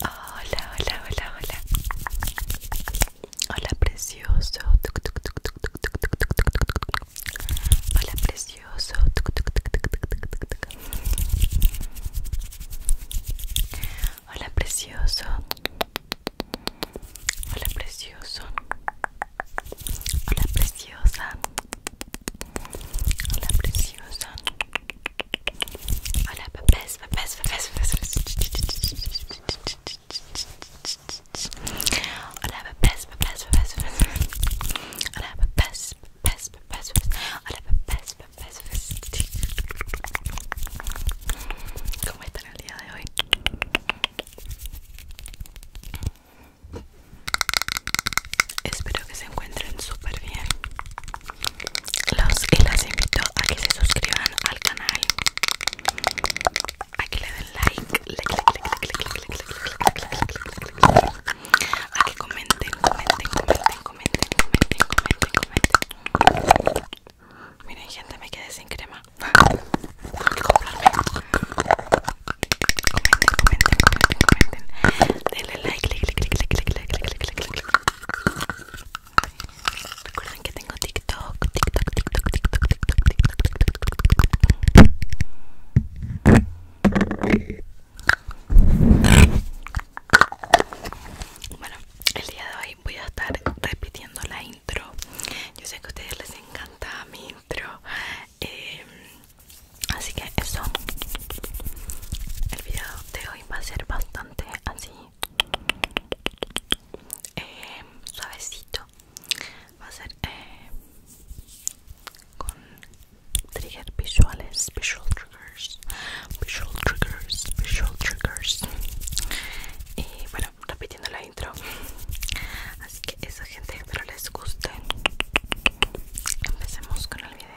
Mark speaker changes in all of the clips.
Speaker 1: Hola, hola, hola, hola. Hola, precioso. Hola, precioso. Hola, precioso. Hola, precioso.
Speaker 2: Hola, preciosa. Hola, preciosa. Hola, preciosa. Hola, papás, papás, papás, papás. Hola, papás, papás, papás, papás. Hola, papás, papás, papás, papás. Hola, papás, papás, papás. ¿Cómo están el día de hoy? Espero que se encuentren súper bien los y las invito a que se suscriban al canal a que le den like, a que comenten, comenten, comenten, comenten, comenten, comenten, miren gente me quedé sin crema comenten, comenten, comenten, denle like, like Recuerden que tengo Bueno, el día de hoy voy a estar repitiendo la intro. Yo sé que a ustedes les encanta mi intro. Eh, así que eso el video de hoy va a ser bastante así eh, suavecito va a ser eh, con trigger visuales visual triggers visual triggers visual triggers y bueno repitiendo la intro así que esa gente espero les guste empecemos con el video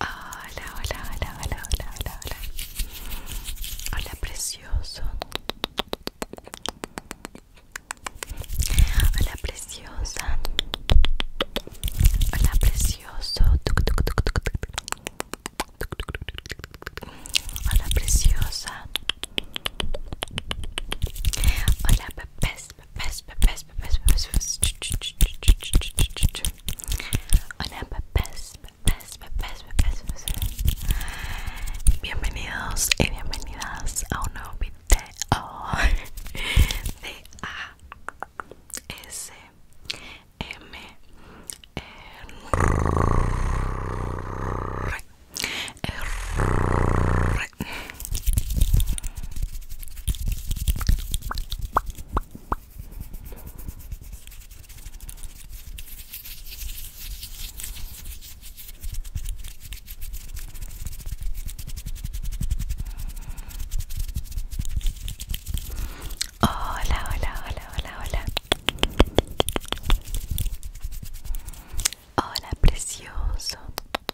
Speaker 2: Hola, hola, hola, hola, hola, hola, hola. Hola, precioso. Hola, preciosa. Hola, precioso. Hola, preciosa. Hola, bebés. Bienvenidos y bienvenidas a un nuevo video
Speaker 1: de Hola,
Speaker 2: hola, hola, hola, hola. Hola, precioso.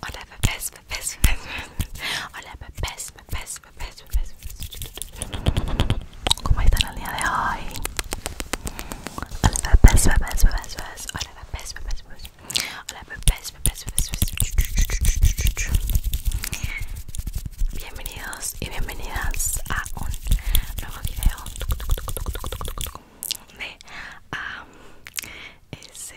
Speaker 2: Hola bebés, Hola ¿Cómo están día de hoy? Hola Hola Hola Bienvenidos y bienvenidas a un nuevo video de a ese...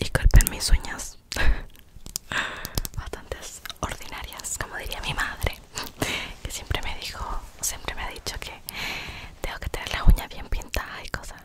Speaker 2: Disculpen mis uñas bastante ordinarias, como diría mi madre Que siempre me dijo, siempre me ha dicho que tengo que tener las uñas bien pintadas y cosas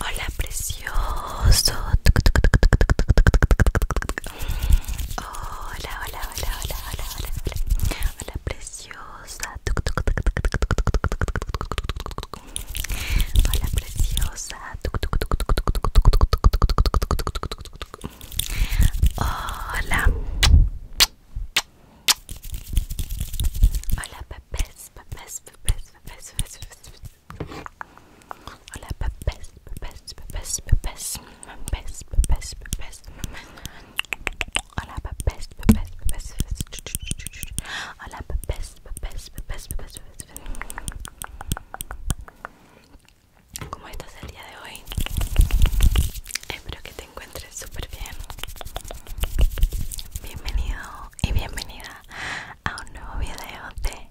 Speaker 2: Hola, precioso. Hola, hola, hola, hola, hola, hola. Hola, preciosa. Hola, preciosa. Hola. Hola pepes pepes pepes pepes pepes pepes Hola pepes pepes pepes pepes pepes pepes Hola pepes pepes pepes estás el día de hoy? Espero que encuentres súper bien. Bienvenido y bienvenida a un nuevo video de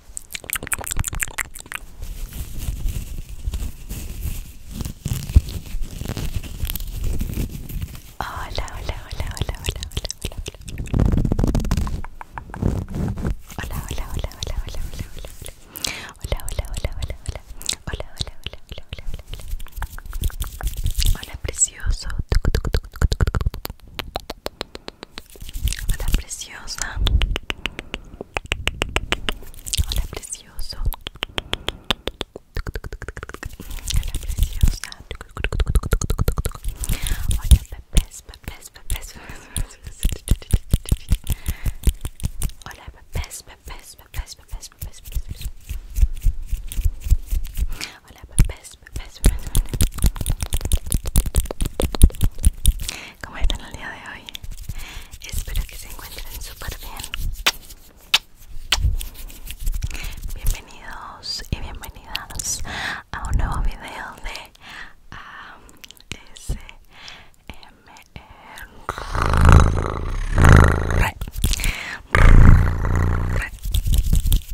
Speaker 2: Hola, hola, hola, hola, hola, hola, hola. Hola, hola, hola, hola, hola, hola, hola. Hola, hola, hola, hola, hola. Hola, hola, hola, hola, hola, hola. Hola, precioso. Hola, Hola preciosa. Hola precioso. Hola preciosa. Hola Hola Hola best papás, ¿Cómo están el día de hoy? Espero que se encuentren súper
Speaker 1: bien. Bienvenidos y bienvenidas a un nuevo video de ASMR. Um,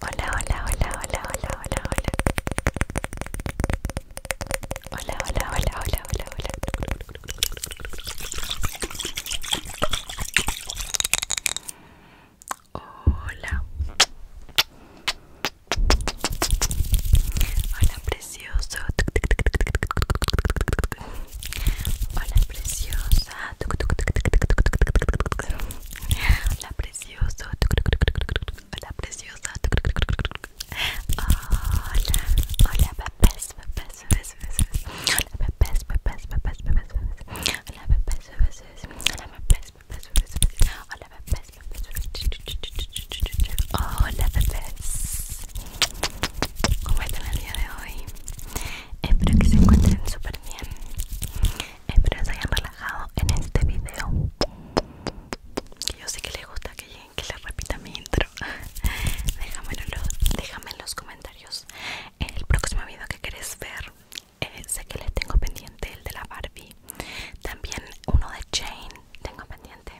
Speaker 2: Hola, hola, hola, hola, hola, hola, hola. Hola, hola, hola, hola, hola, hola. Hola. Hola, precioso. Hola, preciosa. Oh precioso. Hola preciosa. Hola. Hola bebés, bebés, bebés, bebés. Hola bebés, bebés, bebés, bebés, bebés. Hola bebés, bebés, bebés. Hola bebés, bebés, bebés, bebés. Hola bebés, bebés, bebés. Hola bebés. Espero que se encuentren súper bien. Espero que se hayan relajado en este video. yo sé que les gusta que, que les repita mi intro. déjame en los comentarios el próximo video que querés ver. Eh, sé que les tengo pendiente el de la Barbie. También uno de Jane tengo pendiente.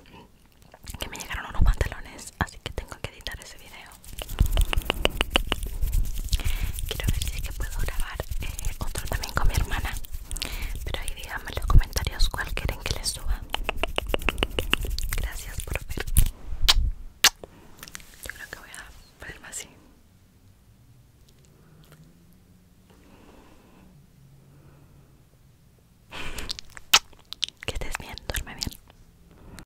Speaker 2: Que me llegaron unos pantalones, así que tengo que editar ese video. Quiero ver si es que puedo grabar eh, otro también con mi hermana. Pero ahí díganme en los comentarios cuál quieren que les suba. Gracias por ver. Yo creo que voy a ponerme así. Que estés bien, duerme bien.